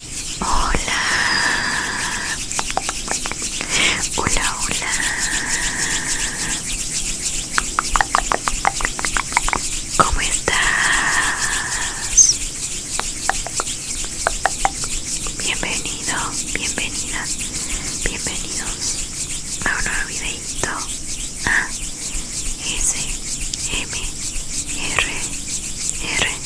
Hola, hola, hola. ¿Cómo estás? Bienvenido, bienvenida bienvenidos a un nuevo videito A S M R R.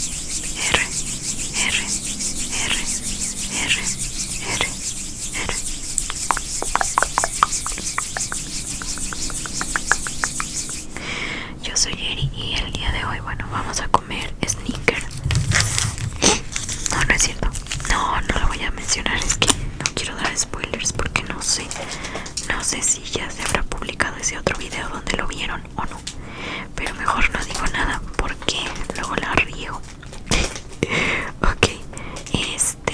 Yo soy Eri y el día de hoy, bueno, vamos a comer sneaker. No, no es cierto. No, no lo voy a mencionar. Es que no quiero dar spoilers porque no sé. No sé si ya se habrá publicado ese otro video donde lo vieron o no pero mejor no digo nada porque luego la riego ok este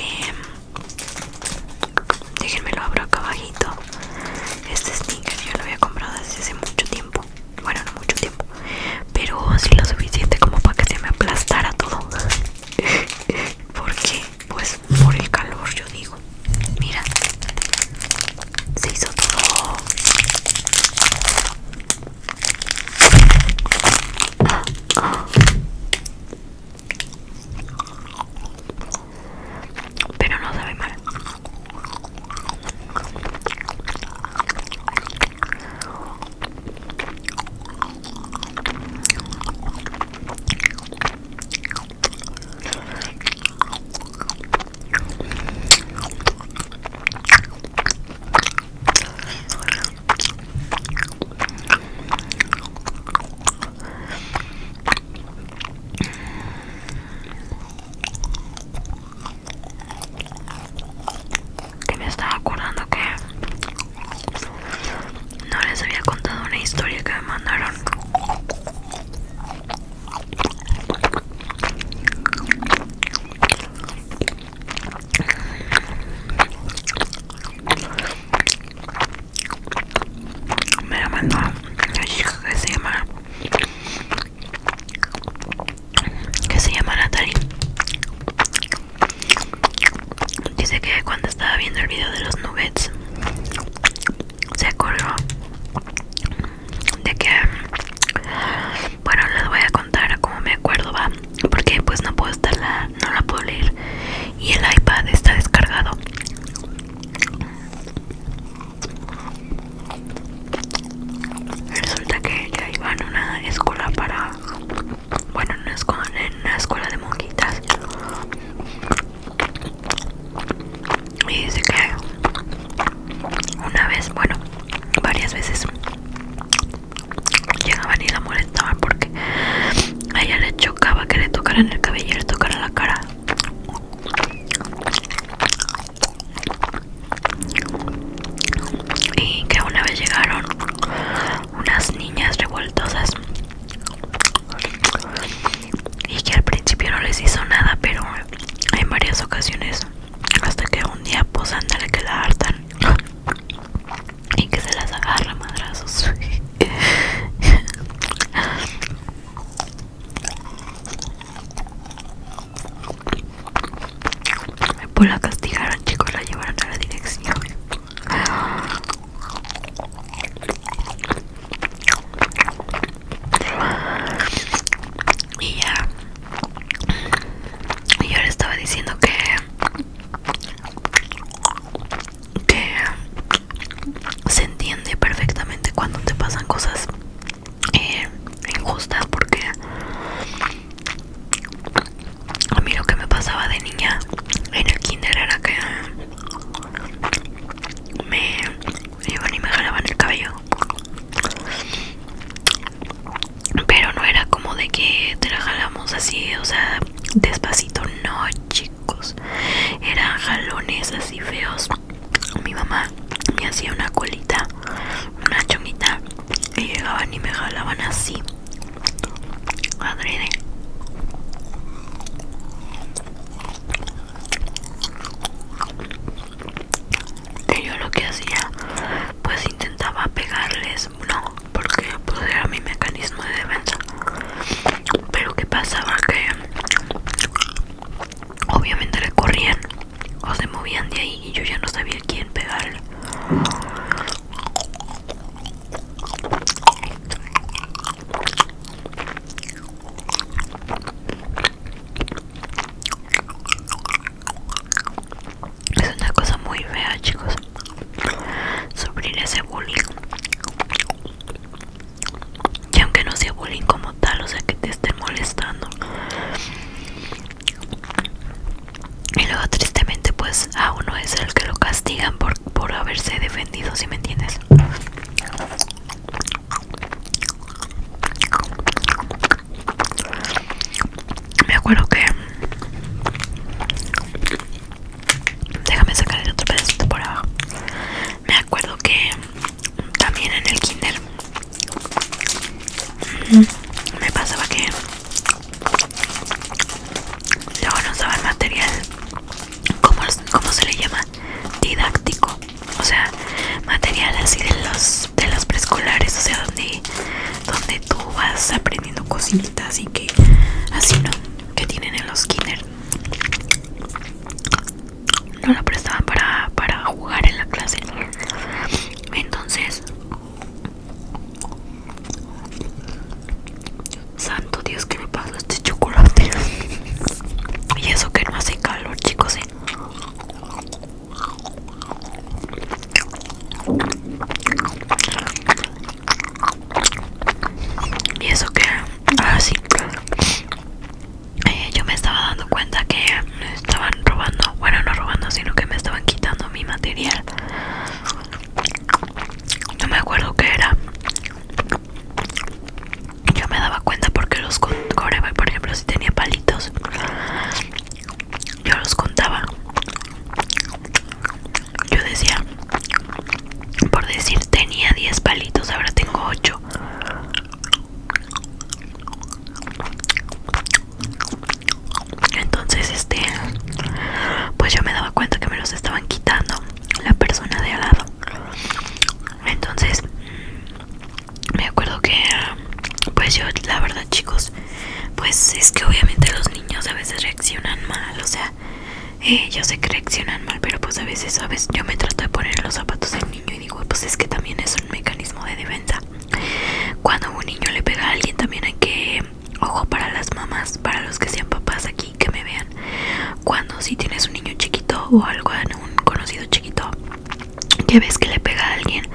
déjenme lo abro acá abajito este sneaker yo lo había comprado hace mucho tiempo bueno no mucho tiempo pero sí lo suficiente como para que se me aplastara todo porque pues por el calor yo digo Mira, se hizo todo. Pero no sabe mal. Que me estaba acordando que no les había contado una historia que me mandaron me la mandó una chica que se llama que se llama Natalie dice que cuando estaba viendo el video de los nuggets se acordó de que bueno les voy a contar como me acuerdo va porque pues no puedo la no la puedo leer y el iPad está descargado resulta que ella iba en una escuela para bueno no una una escuela de monjitas y dice que una vez, bueno, varias veces llegaban y la molestaban porque a ella le chocaba que le tocaran el cabello y le tocaran la cara. Y que una vez llegaron unas niñas revoltosas y que al principio no les hizo nada, pero en varias ocasiones hasta que un día pues ándale que la hartan y que se las agarra madrazos pues la castigaron chicos la llevaron a la dirección y ya. Y yo le estaba diciendo que. que. se entiende perfectamente cuando te pasan cosas eh, injustas, porque. A mí lo que me pasaba de niña en el kinder era que me y me jalaban el cabello pero no era como de que te la jalamos así o sea despacito no chicos eran jalones así feos mi mamá me hacía una colita una chonguita y llegaban y me jalaban así adrede y yo lo que hacía pues intentaba pegarles no porque pues, era mi mecanismo de defensa pero que pasaba que obviamente le corrían o se movían de ahí y yo ya no sabía quién pegarle es una cosa muy fea, chicos. Sufrir ese bullying. Y aunque no sea bullying como tal, o sea que te estén molestando. Y luego tristemente pues a uno es el que lo castigan por, haberse defendido, si me entiendes. Me acuerdo que Déjame sacar el otro pedacito por abajo Me acuerdo que También en el kinder Me pasaba que Luego no sabía el material como se le llama? Didáctico o sea, material así de los de los preescolares, o sea, donde donde tú vas aprendiendo cositas y que así no que tienen en los kinder. No lo prestaban para para jugar en la clase. Entonces, santo Dios, que me pasó este chocolate. y eso que no hace calor, chicos, ¿eh? Y eso que, ahora sí, eh, yo me estaba dando cuenta que me estaban robando, bueno, no robando, sino que me estaban quitando mi material. No me acuerdo qué era. Yo me daba cuenta porque los core, por ejemplo, si tenía palitos yo los contaba yo decía por decir tenía 10 palitos ahora tengo 8 entonces este pues yo me daba cuenta que me los estaban quitando la persona de al lado entonces me acuerdo que pues yo la verdad chicos pues es que obviamente los niños a veces reaccionan mal o sea ellos eh, yo sé que reaccionan mal pero pues a veces sabes yo me trato de poner los zapatos del niño y digo pues es que también es un mecanismo de defensa cuando un niño le pega a alguien también hay que ojo para las mamás para los que sean papás aquí que me vean cuando si tienes un niño chiquito o algo un conocido chiquito que ves que le pega a alguien,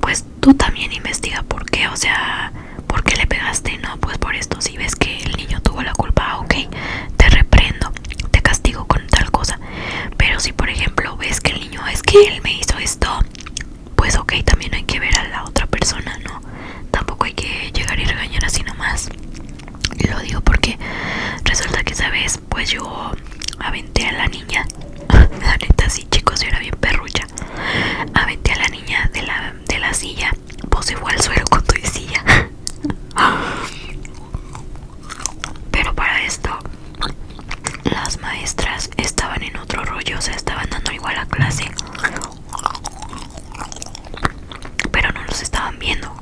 pues tú también investiga por qué, o sea, por qué le pegaste, no, pues por esto, si ves que el niño tuvo la culpa, ah, ok, te reprendo, te castigo con tal cosa, pero si por ejemplo ves que el niño es que él me hizo esto, pues ok, también hay que ver a la otra persona, ¿no? Tampoco hay que llegar y regañar así nomás. Lo digo porque resulta que sabes pues yo aventé a la niña. la neta, sí, chicos, era bien perrucha. Aventé a la niña de la, silla. Pues igual suelo con tu silla. Pero para esto, las maestras estaban en otro rollo, o sea, estaban dando igual a clase. Pero no los estaban viendo.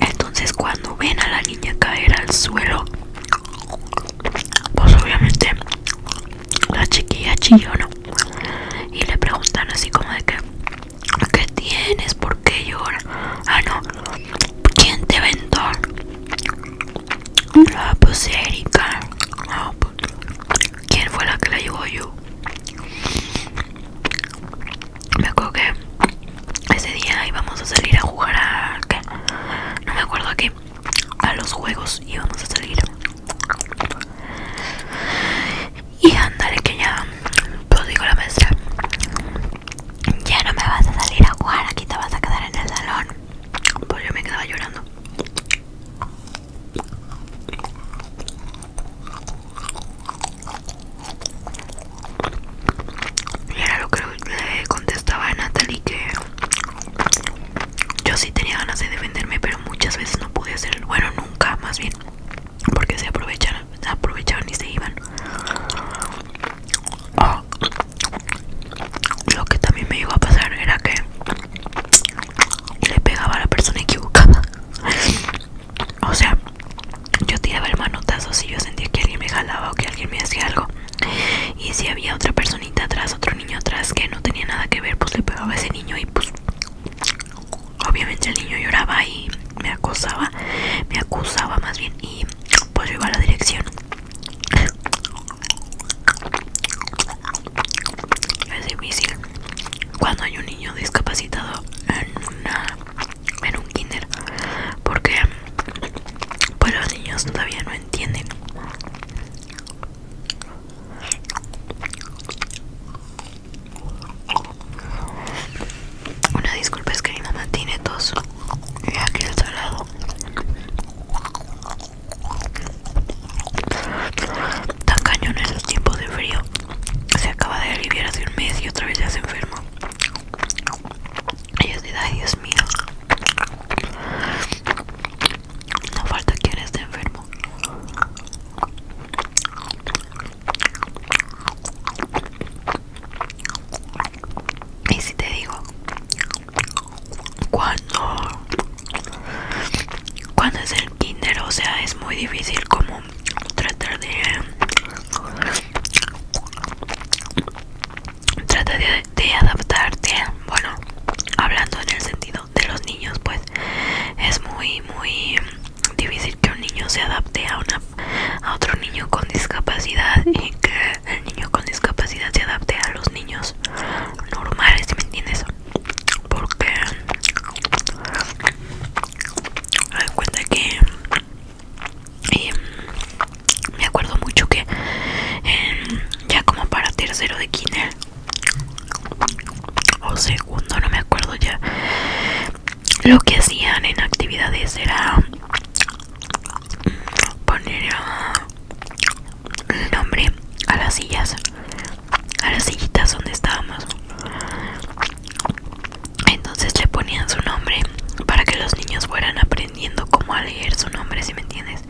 Entonces cuando ven a la niña caer al suelo, pues obviamente la chiquilla chilló, Y le preguntan así como de que, ¿qué tienes? ¿Por qué llora? Ah, no, ¿quién te vendó? La ah, pues, ¿quién fue la que la llevó yo? me acuerdo que ese día íbamos a salir a jugar a ¿qué? no me acuerdo a qué a los juegos íbamos a salir y andale que ya pues digo la maestra ya no me vas a salir a jugar aquí te vas a quedar en el salón pues yo me quedaba llorando y era lo que le contestaba a Natalie que yo sí tenía ganas de defenderme, pero muchas veces no pude hacerlo. Bueno, nunca, más bien, porque se aprovecharon, aprovechaban y se iban. Ah, lo que también me iba a pasar era que le pegaba a la persona equivocada. o sea, yo tiraba el manotazo si yo sentía que alguien me jalaba o que alguien me hacía algo. Y si había otra personita atrás, otro niño atrás que no tenía nada que ver, pues le pegaba a ese niño y pues obviamente el niño lloraba y me acosaba, me acusaba más bien y pues yo iba a la dirección. Es difícil cuando hay un niño discapacitado en una en un kinder porque pues los niños todavía no entienden una disculpa es que mi mamá tiene tos y aquí el salado tan cañón en los tiempos de frío se acaba de aliviar hace un mes y otra vez ya se enferma Dios mío, no falta quien esté enfermo. Y si te digo, cuando, cuando es el dinero, o sea, es muy difícil como tratar de trata de, adaptarte bueno hablando en el sentido de los niños pues es muy muy difícil que un niño se adapte a una a otro niño con discapacidad y que el niño con discapacidad se adapte a los niños normales ¿me entiendes? porque cuenta que y mm, me acuerdo mucho que em, ya como para tercero de kinder o segundo, no me acuerdo ya. Lo que hacían en actividades era mm, poner ah, el nombre a las sillas, a las sillitas donde estábamos. Entonces le ponían su nombre para que los niños fueran aprender cómo a leer su nombre, si me entiendes.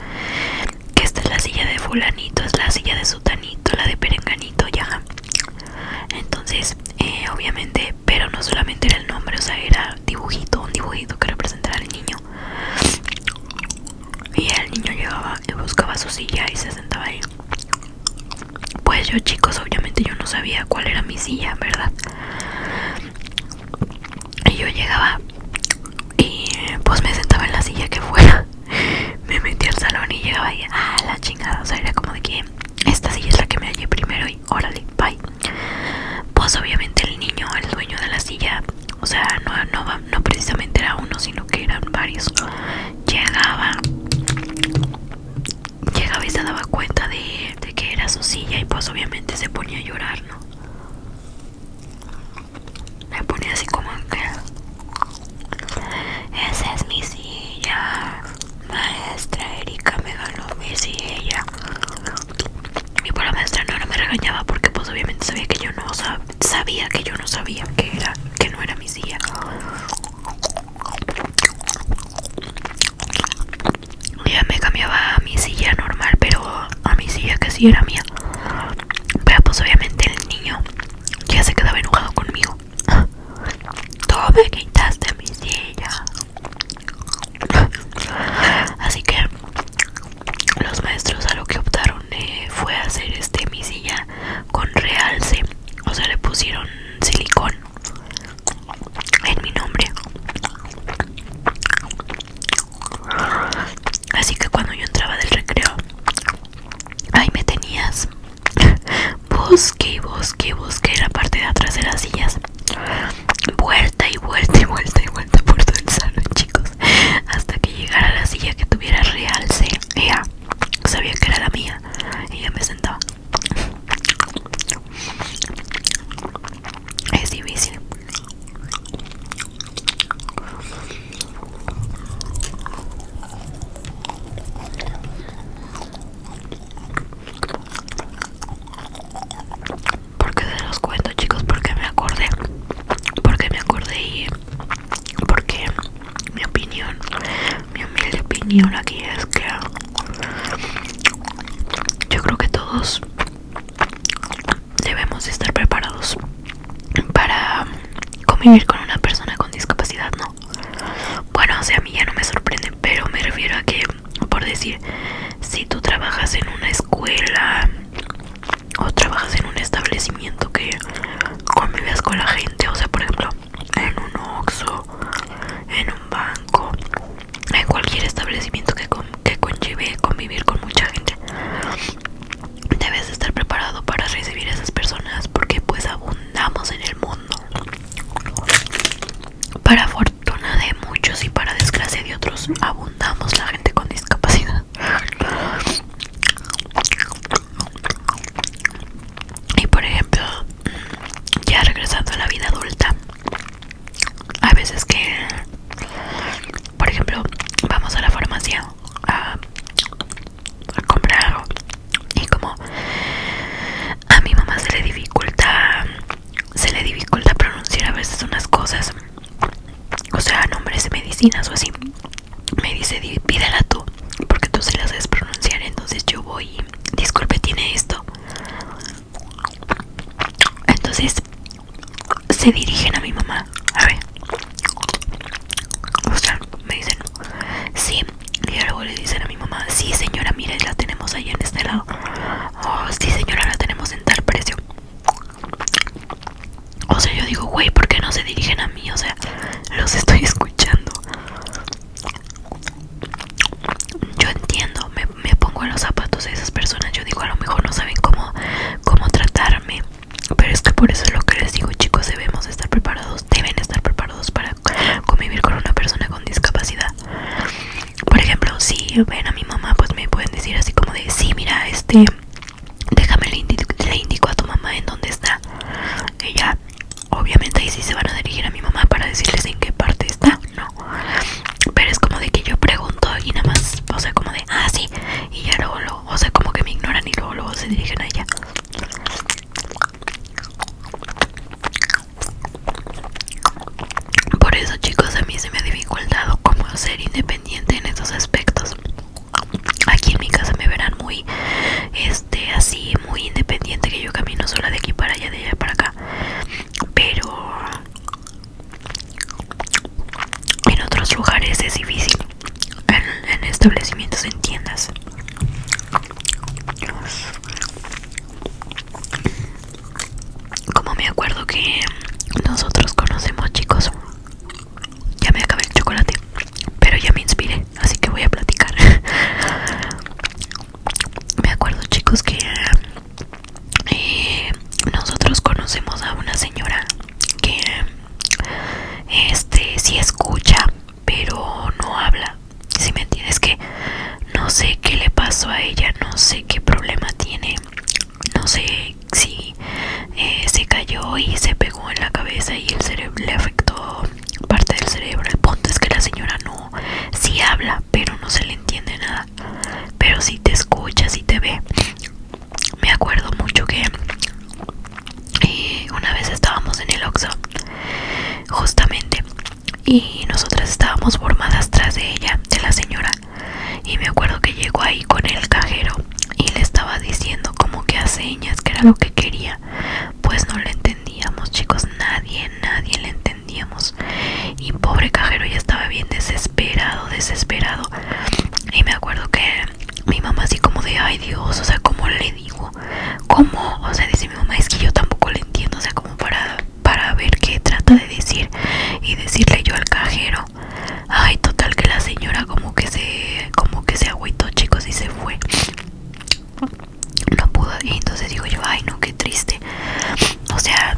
Que esta es la silla de fulanito, es la silla de sutanito, la de perenganito, ya. Entonces, eh, obviamente, pero no solamente era el nombre, o sea, era dibujito, un dibujito que representara al niño. Y el niño llegaba eh, buscaba su silla y se sentaba ahí. Pues yo chicos, obviamente yo no sabía cuál era mi silla, ¿verdad? Y yo llegaba y pues me sentaba en la silla que fuera. Me metí al salón y llegaba y ah, la chingada. O sea, era como de que esta silla es la que me hallé primero y órale, bye. Pues obviamente el niño, el dueño de la silla, o sea, no, no, no precisamente era uno, sino que eran varios. Llegaba, llegaba y se daba cuenta de que era su silla y pues obviamente se ponía a llorar, ¿no? Me ponía así como que esa es mi silla, maestra Erika me ganó mi silla. Y por pues, la maestra no, no me regañaba porque pues obviamente sabía que yo no sabía que yo no sabía que era, que no era mi silla ya me cambiaba a mi silla normal pero a mi silla que sí era mía pero pues obviamente el niño ya se quedaba enojado conmigo tú me quitaste mi silla así que los maestros a lo que optaron eh, fue hacer este mi silla con realce o sea le pusieron silicón en mi nombre. Así que cuando yo entraba del recreo, ahí me tenías. Busqué, busqué, busqué la parte de atrás de las sillas. Vuelta y vuelta y vuelta y vuelta por todo el salón, chicos. Hasta que llegara la silla que tuviera realce. se sabía que era la mía. Y ya me sentaba. Es difícil. Porque se los cuento chicos, porque me acordé, porque me acordé y porque mi opinión, mi humilde opinión aquí es que yo creo que todos debemos estar preparados para convivir con una persona con discapacidad, ¿no? Bueno, o sea, a mí ya no me sorprende, pero me refiero a que, por decir, si tú trabajas en una escuela o trabajas en un establecimiento que convives con la gente, o sea, por ejemplo, en un Oxxo, en banco, en cualquier establecimiento que, que conlleve convivir con mucha gente. Debes estar preparado para recibir a esas personas porque pues abundamos en el mundo. Para fortuna de muchos y para desgracia de otros, abundamos la gente con discapacidad. Y por ejemplo, ya regresando a la vida adulta, a veces que por ejemplo vamos a la farmacia a, comprar algo y como a mi mamá se le dificulta se le dificulta pronunciar a veces unas cosas o sea nombres de medicinas o así me dice pídela tú porque tú se las sabes pronunciar entonces yo voy disculpe tiene esto entonces se dirigen a mi mamá. A ver. O sea, me dicen, sí. Y luego le dicen a mi mamá, sí señora, mire, la tenemos ahí en este lado. Oh, sí señora, la tenemos en tal precio. O sea, yo digo, güey, ¿por qué no se dirigen a mí? O sea, los estoy escuchando. Yo entiendo, me me pongo en los zapatos de esas personas. Yo digo, a lo mejor no saben cómo, cómo tratarme. Pero es que por eso es lo que les digo, chicos, debemos estar preparados, deben estar preparados para convivir con una persona con discapacidad. Por ejemplo, si ven a mi mamá, pues me pueden decir así como de, sí, mira, este, déjame le indico, a tu mamá en dónde está. Ella, obviamente ahí sí se van a dirigir a mi mamá para decirles en qué parte está no pero es como de que yo pregunto y nada más o sea como de ah sí y ya luego, o sea como que me ignoran y luego luego se dirigen allá por eso chicos a mí se me ha dificultado como ser independiente en estos aspectos aquí en mi casa me verán muy este así muy independiente que yo camino sola de aquí para allá de allá para acá pero en otros lugares es difícil. En, establecimientos, en tiendas. Como me acuerdo que nosotros conocemos chicos. Ya me acabé el chocolate. Pero ya me inspiré. Así que voy a platicar. me acuerdo chicos que eh, nosotros conocemos a una señora que este sí escucha pero no habla si me entiendes que no sé qué le pasó a ella no sé qué problema tiene no sé si eh, se cayó y se pegó en la cabeza y el cerebro le afectó parte del cerebro el punto es que la señora no sí habla pero no se le entiende nada. Pero si te escucha, si te ve. Me acuerdo mucho que eh, una vez estábamos en el Oxxo, justamente, y nosotras estábamos formadas tras de ella, de la señora. Y me acuerdo que llegó ahí con el cajero y le estaba diciendo como que a señas que era lo que quería. Pues no le entendíamos, chicos, nadie, nadie le entendía y pobre cajero ya estaba bien desesperado desesperado y me acuerdo que mi mamá así como de ay Dios o sea cómo le digo cómo o sea dice mi mamá es que yo tampoco le entiendo o sea como para para ver qué trata de decir y decirle yo al cajero ay total que la señora como que se como que se agüitó chicos y se fue no pudo y entonces digo yo ay no qué triste o sea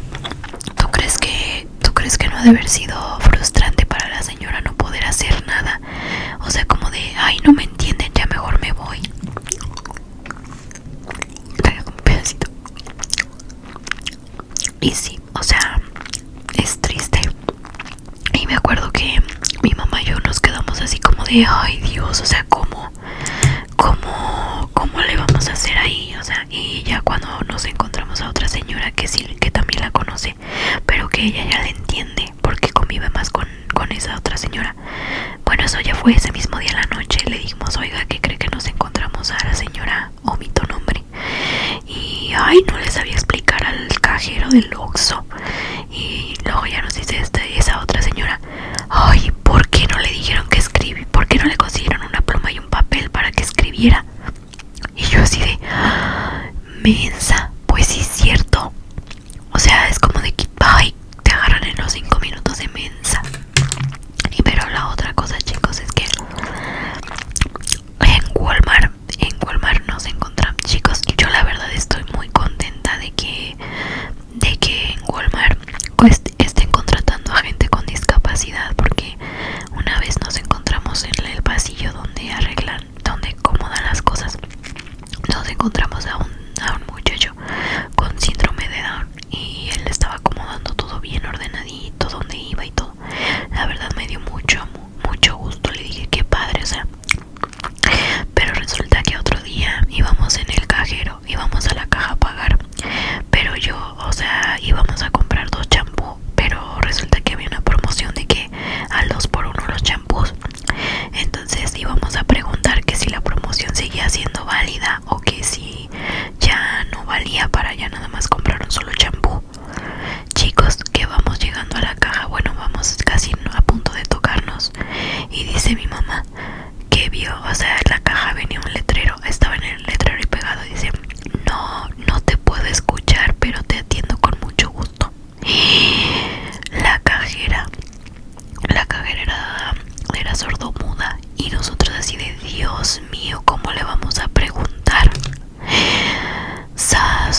tú crees que ¿Tú crees que no ha de haber sido frustrante para la señora no poder hacer nada? O sea, como de, ay, no me entienden, ya mejor me voy. un pedacito. Y sí, o sea, es triste. Y me acuerdo que mi mamá y yo nos quedamos así como de, ay Dios, o sea, ¿cómo, cómo, cómo le vamos a hacer ahí? O sea, y ya cuando nos encontramos a otra señora que sí, que también la conoce, pero que ella ya la entiende porque convive más con, esa otra señora. Bueno, eso ya fue ese mismo día en la noche, le dijimos, oiga, que cree que nos encontramos a la señora, omito nombre. Y, ay, no le sabía explicar al cajero del Oxxo. Y luego ya nos dice este, esa otra señora, ay, ¿por qué no le dijeron que escribir ¿Por qué no le consiguieron una pluma y un papel para que escribiera? Y yo así de mensa, pues sí es cierto. O sea, es como de que te agarran en los 5 minutos de mensa. Y pero la otra cosa, chicos, es que en Walmart, en Walmart nos encontramos, chicos. Yo la verdad estoy muy contenta de que de que en Walmart pues, estén contratando a gente con discapacidad porque una vez nos encontramos en el pasillo donde arreglan, donde acomodan las cosas. Nos encontramos a un, muchacho con síndrome de Down y él estaba acomodando todo bien ordenadito, donde iba y todo. La verdad me dio mucho, mucho gusto. Le dije que padre, o sea. Pero resulta que otro día íbamos en el cajero, íbamos a la caja a pagar pero yo, o sea, íbamos a comprar dos champú, pero resulta que había una promoción de que a dos por uno los champús. Entonces íbamos a preguntar que si la promoción seguía siendo válida o que si ya no valía para ya nada más comprar un solo champú. Chicos, que vamos llegando a la caja, bueno, vamos casi a punto de tocarnos. Y dice mi mamá que vio, o sea, en la caja venía un letrero, estaba en el letrero y pegado, dice, no, no te puedo escuchar, pero te atiendo con mucho gusto. La cajera, la cajera era, sordomuda y nosotros así de Dios mío, ¿cómo le vamos a preguntar?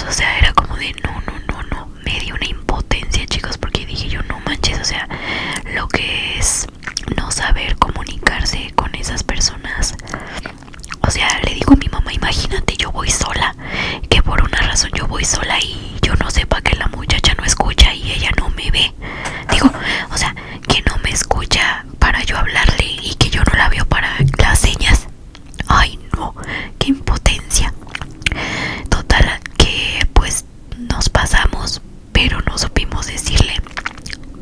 o sea, era como de no, no, no, no. Me dio una impotencia, chicos, porque dije yo no manches, o sea, lo que es no saber comunicarse con esas personas o sea, le digo a mi mamá, imagínate, yo voy sola, que por una razón yo voy sola y yo no sepa que la muchacha no escucha y ella no me ve. Digo, o sea, que no me escucha para yo hablarle y que yo no la veo para las señas. Ay, no, qué impotencia. Total, que pues nos pasamos, pero no supimos decirle.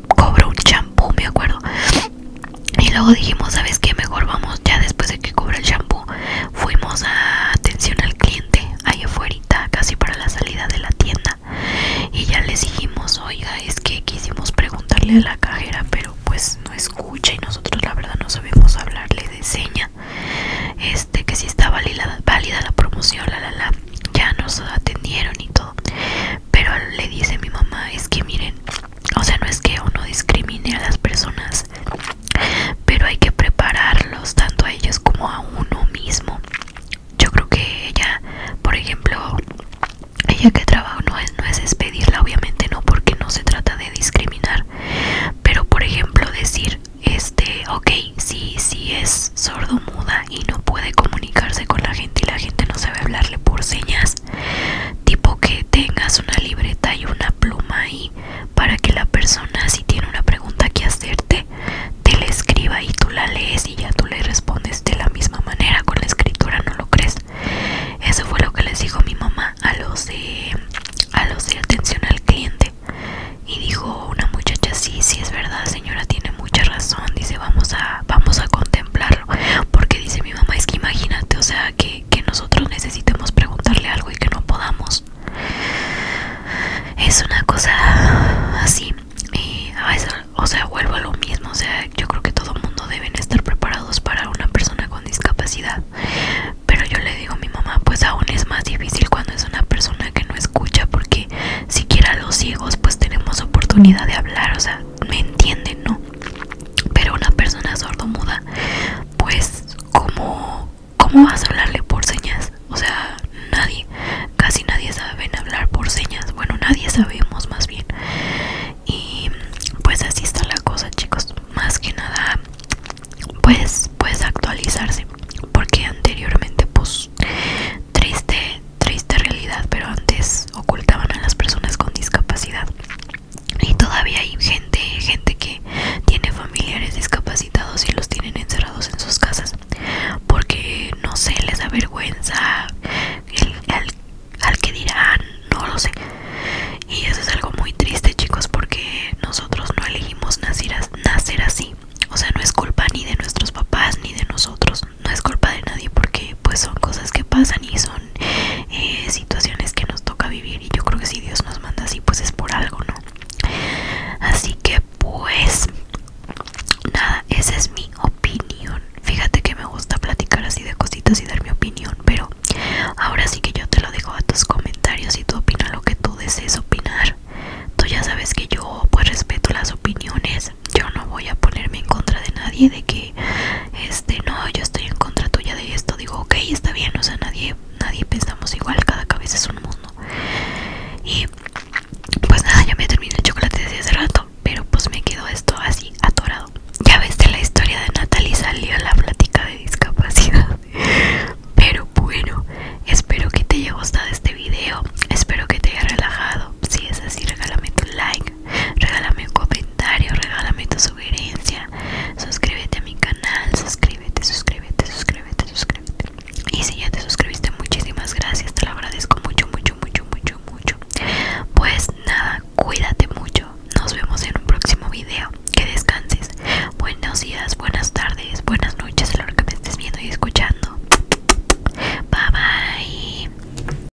Cobro un champú, me acuerdo. Y luego dijimos, ¿sabes qué? Mejor vamos ya después de que cobra el shampoo. Fuimos a atención al cliente, ahí afuera, casi para la salida de la tienda. Y ya les dijimos, oiga, es que quisimos preguntarle a la cajera, pero pues no escucha y nosotros la verdad no sabemos hablarle de seña. Este, que si está válida, válida la promoción, la la la. Ya nos atendieron y todo pero le dice mi mamá, es que miren, o sea, no es que uno discrimine a las personas, pero hay que prepararlos tanto a ellos como a uno mismo. Yo creo que ella, por ejemplo, ella que trabaja no es, no es despedirla, obviamente no, porque no se trata de discriminar. Pero por ejemplo decir, este, ok, si, si es sordo muda y no puede comunicarse con la gente y la gente no sabe hablarle por señas, tipo que tengas una libreta y una pluma y para que la persona si tiene una pregunta que hacerte te la escriba y tú la lees y ya tú le respondes de la misma manera con la escritura no lo crees eso fue lo que les dijo mi mamá a los de a los de atención al cliente y dijo una muchacha sí sí es verdad señora tiene mucha razón, dice, vamos a, vamos a contemplarlo, porque dice mi mamá, es que imagínate, o sea, que, nosotros necesitemos preguntarle algo y que no podamos. Es una cosa así, o sea, vuelvo a lo mismo, o sea, yo creo que todo mundo deben estar preparados para una persona con discapacidad, pero yo le digo a mi mamá, pues aún es más difícil cuando es una persona que no escucha, porque siquiera los ciegos pues tenemos oportunidad de hablar, o sea, me entienden, ¿no? Pero una persona sordomuda, pues como ¿cómo vas a hablarle por señas? O sea, nadie, casi nadie sabe hablar por señas. Bueno, nadie sabemos más bien. Y pues así está la cosa, chicos. Más que nada, pues, pues actualizarse. Porque anteriormente, pues, triste, triste realidad, pero antes ocultaban a las personas con discapacidad. Y todavía hay gente, gente que tiene familiares discapacitados y los tienen encerrados en sus casas porque no sé, les da vergüenza al, que dirán, no lo sé. Y eso es algo muy triste, chicos, porque nosotros no elegimos nacer, nacer así. O sea, no es culpa ni de nuestros papás ni de nosotros no es culpa de nadie porque pues son cosas que pasan y son eh, situaciones que nos toca vivir y yo creo que si Dios nos manda así pues es por algo, ¿no? Así que pues nada, esa es mi opinión. Fíjate que me gusta platicar así de cositas y dar mi opinión, pero ahora sí que yo te lo dejo a tus comentarios y tú opina lo que tú desees opinar. Tú ya sabes que yo pues respeto las opiniones yo no voy a ponerme en contra de nadie de que este no yo estoy en contra tuya de esto digo ok está bien o sea nadie nadie pensamos igual cada cabeza es un mundo y pues nada ya me terminé el chocolate desde hace rato pero pues me quedo esto así atorado ya ves que la historia de Natalie salió la plática de discapacidad pero bueno espero que te haya gustado este video espero que te haya relajado si es así regálame tu like regálame un comentario, regálame tu sugerencia, suscríbete a mi canal, suscríbete, suscríbete, suscríbete, suscríbete. Y si ya te suscribiste, muchísimas gracias, te lo agradezco mucho, mucho, mucho, mucho, mucho. Pues nada, cuídate mucho, nos vemos en un próximo video, que descanses. Buenos días, buenas tardes, buenas noches, a lo que me estés viendo y escuchando. Bye bye.